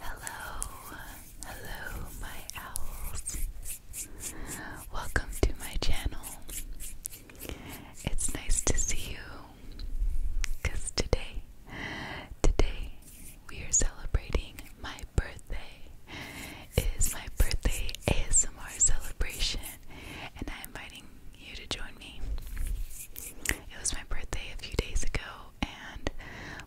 Hello, hello, my owls. Welcome to my channel. It's nice to see you because today, today, we are celebrating my birthday. It is my birthday ASMR celebration, and I'm inviting you to join me. It was my birthday a few days ago, and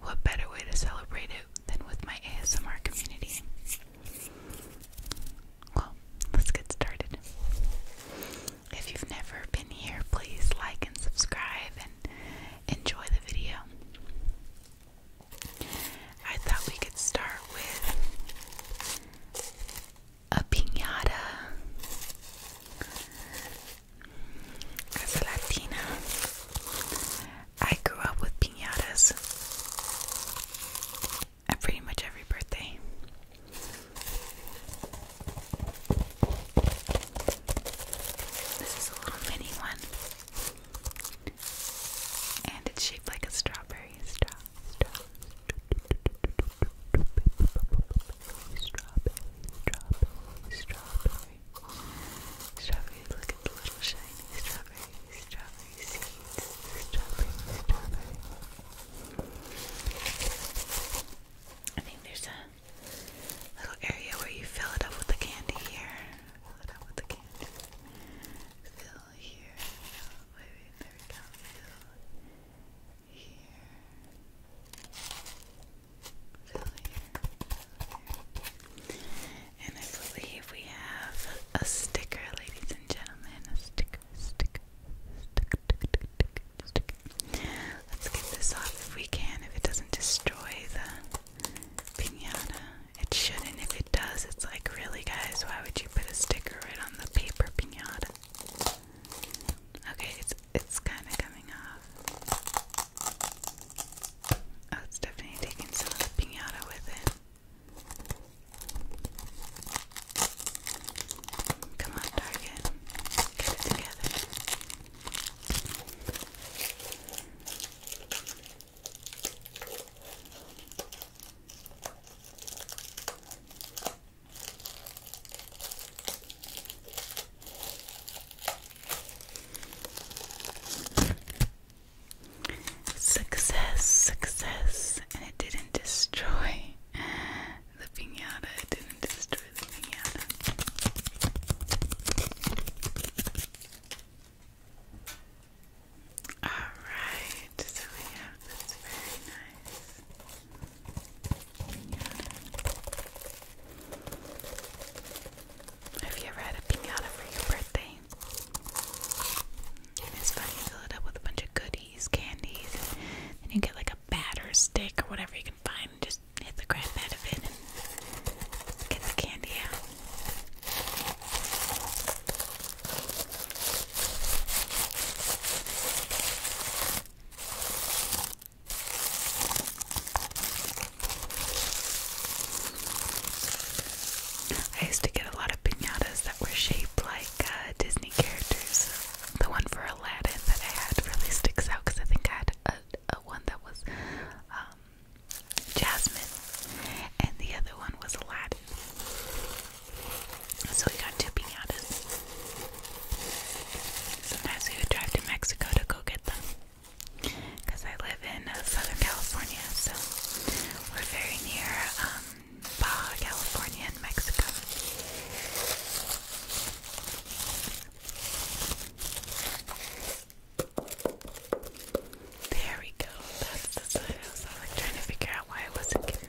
what better way to celebrate it than with my ASMR community? Well, let's get started. If you've never been here, please like and subscribe and enjoy the video. I thought we could start with a piñata. As a Latina, I grew up with piñatas at pretty much every birthday. This is a little mini one, and it's shaped like a strawberry straw strawberry, strawberry, strawberry. Strawberry, look at little shiny strawberry, strawberry seeds. Strawberry, strawberry. I think there's a little area where you fill it up with the candy here. Fill it up with the candy. Fill here. there we go. here fill here. And I believe we have a sticker, ladies and gentlemen. A sticker, sticker, sticker, sticker, sticker, sticker. Let's get this off if we can, if it doesn't destroy the piñata. It shouldn't. If it does, it's like, really, guys, why would you put a sticker right on the paper piñata? Okay, it's it's kind of coming off. Oh, it's definitely taking some of the pinata with it. Come on, Target, get it together. Success, success, and it didn't destroy the pinata. It didn't destroy the pinata. All right, so we have very nice have you ever had a pinata for your birthday? it's fun, you fill it up with a bunch of goodies, candies, and you get like a batter stick or whatever you can find just hit the crap out of it and get the candy out. I used to get a lot of pinatas that were shaped like uh, Disney characters. The one for Aladdin that I had really sticks out because I think I had a, one that was um, Jasmine, and the other one was Aladdin. So we got two pinatas. Sometimes we would drive to Mexico to go get them. Because I live in uh, Southern California, so we're very near um, California and Mexico. There we go. That's the side I was like trying to figure out why I wasn't giving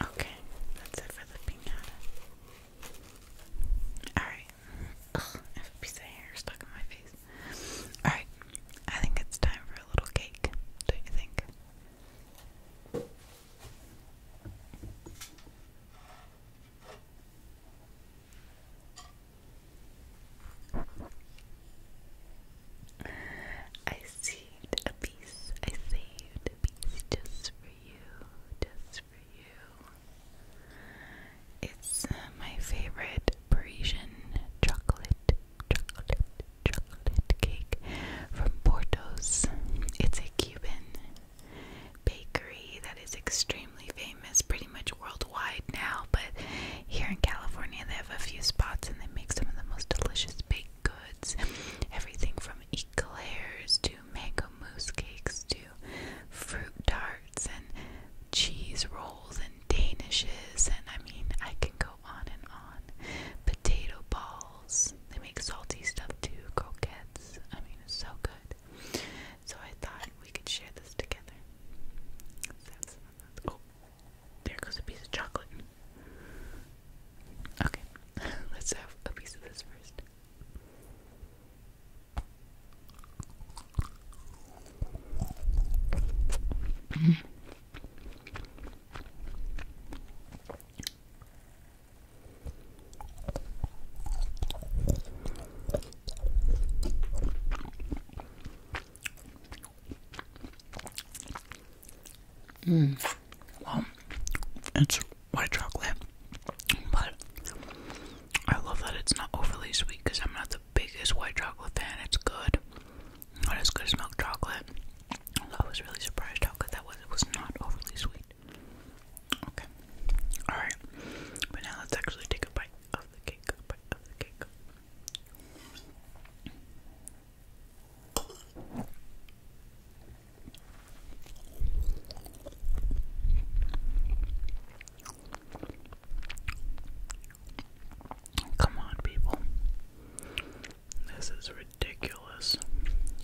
Okay, that's it for the pinata. Alright. Ugh, I have a piece of hair stuck in my face. Alright, I think it's time for a little cake, don't you think? a piece. I saved a piece just for you. Just for you. It's uh, my favorite Parisian chocolate, chocolate, chocolate cake from Portos. It's a Cuban bakery that is extremely famous, pretty much worldwide now, but here in California, they have a few spots and they make some of the most delicious baked goods. Everything from eclairs to mango mousse cakes to fruit tarts and cheese rolls and danishes. And I mean, I can go on and on. Potato balls. They make salty stuff too. Croquettes. I mean, it's so good. So I thought we could share this together. That's, that's, oh, there goes a piece of chocolate. Okay, let's have a piece of this first. Mm. Well, it's white chocolate, but I love that it's not overly sweet because I'm not the biggest white chocolate fan. It's good, not as good as milk chocolate. I was really surprised how good that was. It was not overly sweet. Okay, all right, but now let's actually take a Bite of the cake. Come on, people. This is ridiculous.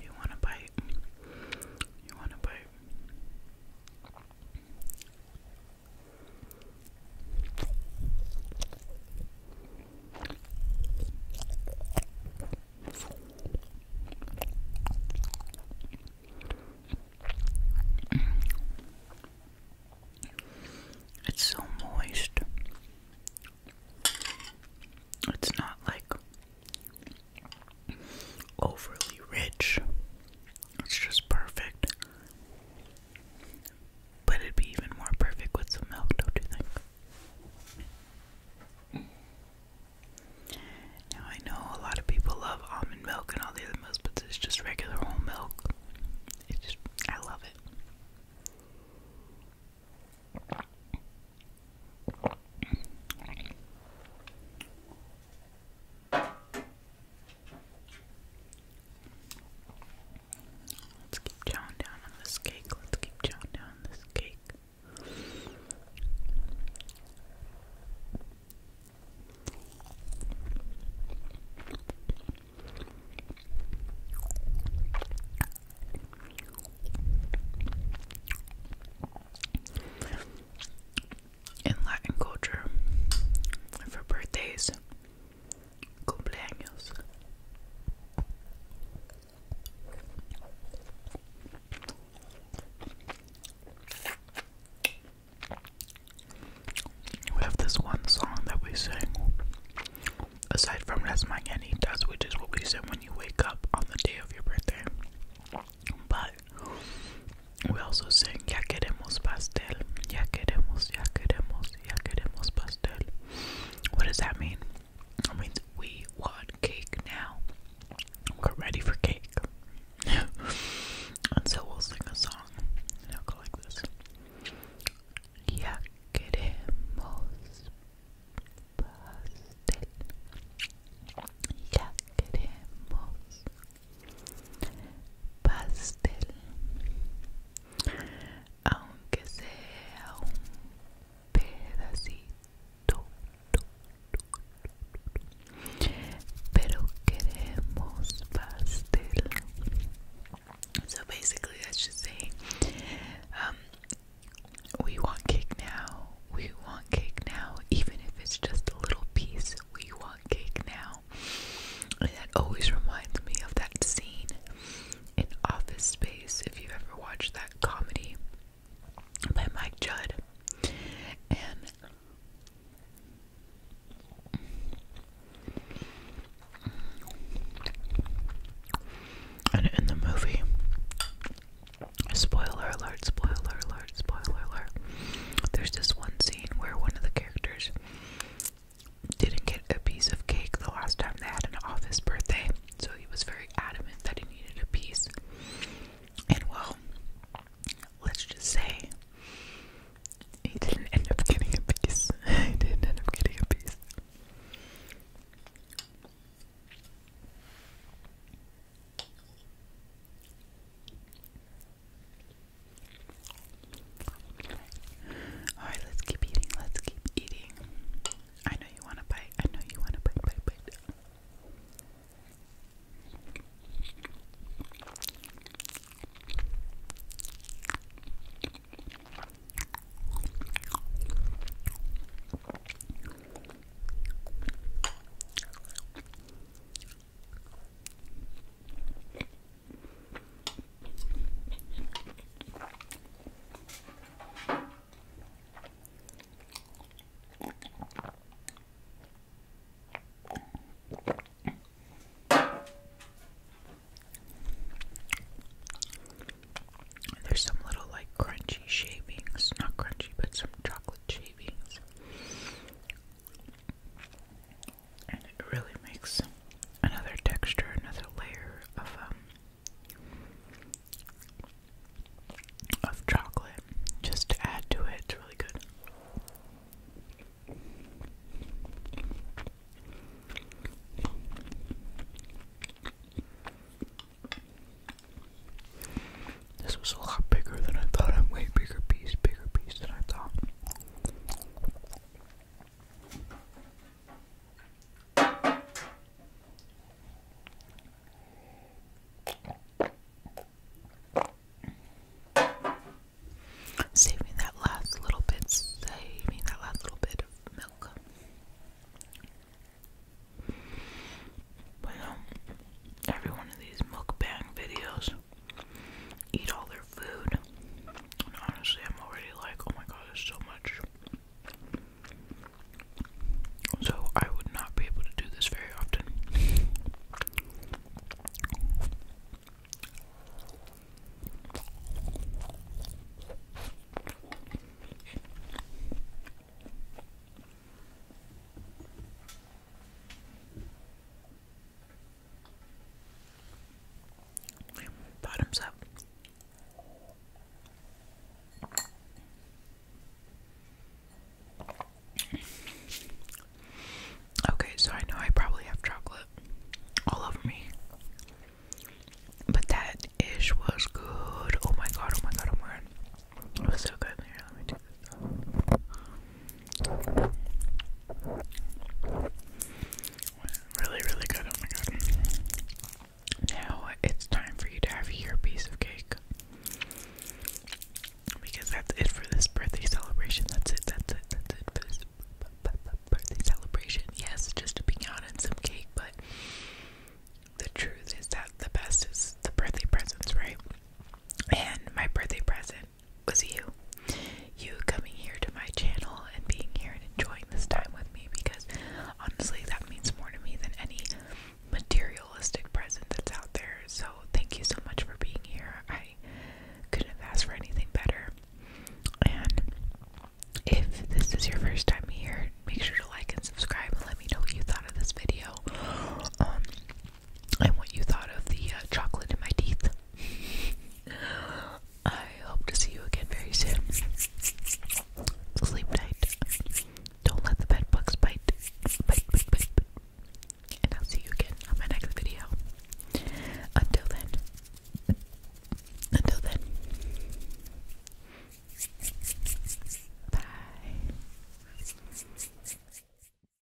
You want to bite? You want to bite? It's so moist. It's not like overly rich. It's just perfect. But it'd be even more perfect with some milk, don't you think? Now I know a lot of people love almond milk and all the other milks, but it's just regular whole milk. It's just, I love it. Let's keep chowing down on this cake. Let's keep chowing down on this cake. In Latin culture, for birthdays, we have this one song that we sing aside from Las Mañanitas which is what we sing when you wake up on the day of your birthday but we also sing Ya queremos pastel Ya queremos, ya queremos ya queremos pastel. What does that mean? It means we want cake now. We're ready for cake. and so we'll sing a song. And it'll go like this. Ya queremos pastel. Ya queremos pastel so basically that's just saying um, we want cake now we want cake now even if it's just a little piece we want cake now and that always reminds me of that scene in Office Space, if you ever watched that comedy by Mike Judd. and in the movie, spoiler alert, spoiler alert, spoiler alert, there's this one scene where one of the characters didn't get a piece of cake the last time they had an office birthday, so he was very adamant that he needed a piece. And well, let's just say he didn't end up getting a piece. he didn't end up getting a piece. Alright, let's keep eating. Let's keep eating. I know you want to bite. I know you want to bite, bite, bite. There's some little like crunchy shavings, not crunchy, but some chocolate shavings it really makes another texture, another layer of um, of chocolate just to add to it. It's really good. This was a lot bigger than I thought. A way bigger piece, bigger piece than I thought. Saving that last little bit, saving that last little bit of milk. Well, every one of these mukbang videos eat all their food. And honestly, I'm already like, oh my god, there's so much. So I would not be able to do this very often. Bottoms up. Okay, so I know I probably have chocolate all over me. But that ish was good. Oh my god, oh my god, oh my god. It was so good. Here, let me do this. Really, really good. Oh my god. Now it's time for you to have your piece of cake. Because that's it for this birthday celebration. That's it, that's it, that's it birthday celebration. Yes, just a pecan and some cake, but the truth is that the best is the birthday presents, right? And my birthday present was you. You coming here to my channel and being here and enjoying this time with me because honestly, that means more to me than any materialistic present that's out there. So, thank you so much for being here. I couldn't have asked for anything better. And if this is your first time here, make sure to like and subscribe and let me know what you thought of this video. Um, and what you thought of the uh, chocolate in my teeth. I hope to see you again very soon. Sleep tight. Don't let the bed bugs bite. And I'll see you again on my next video. Until then. Until then. Bye.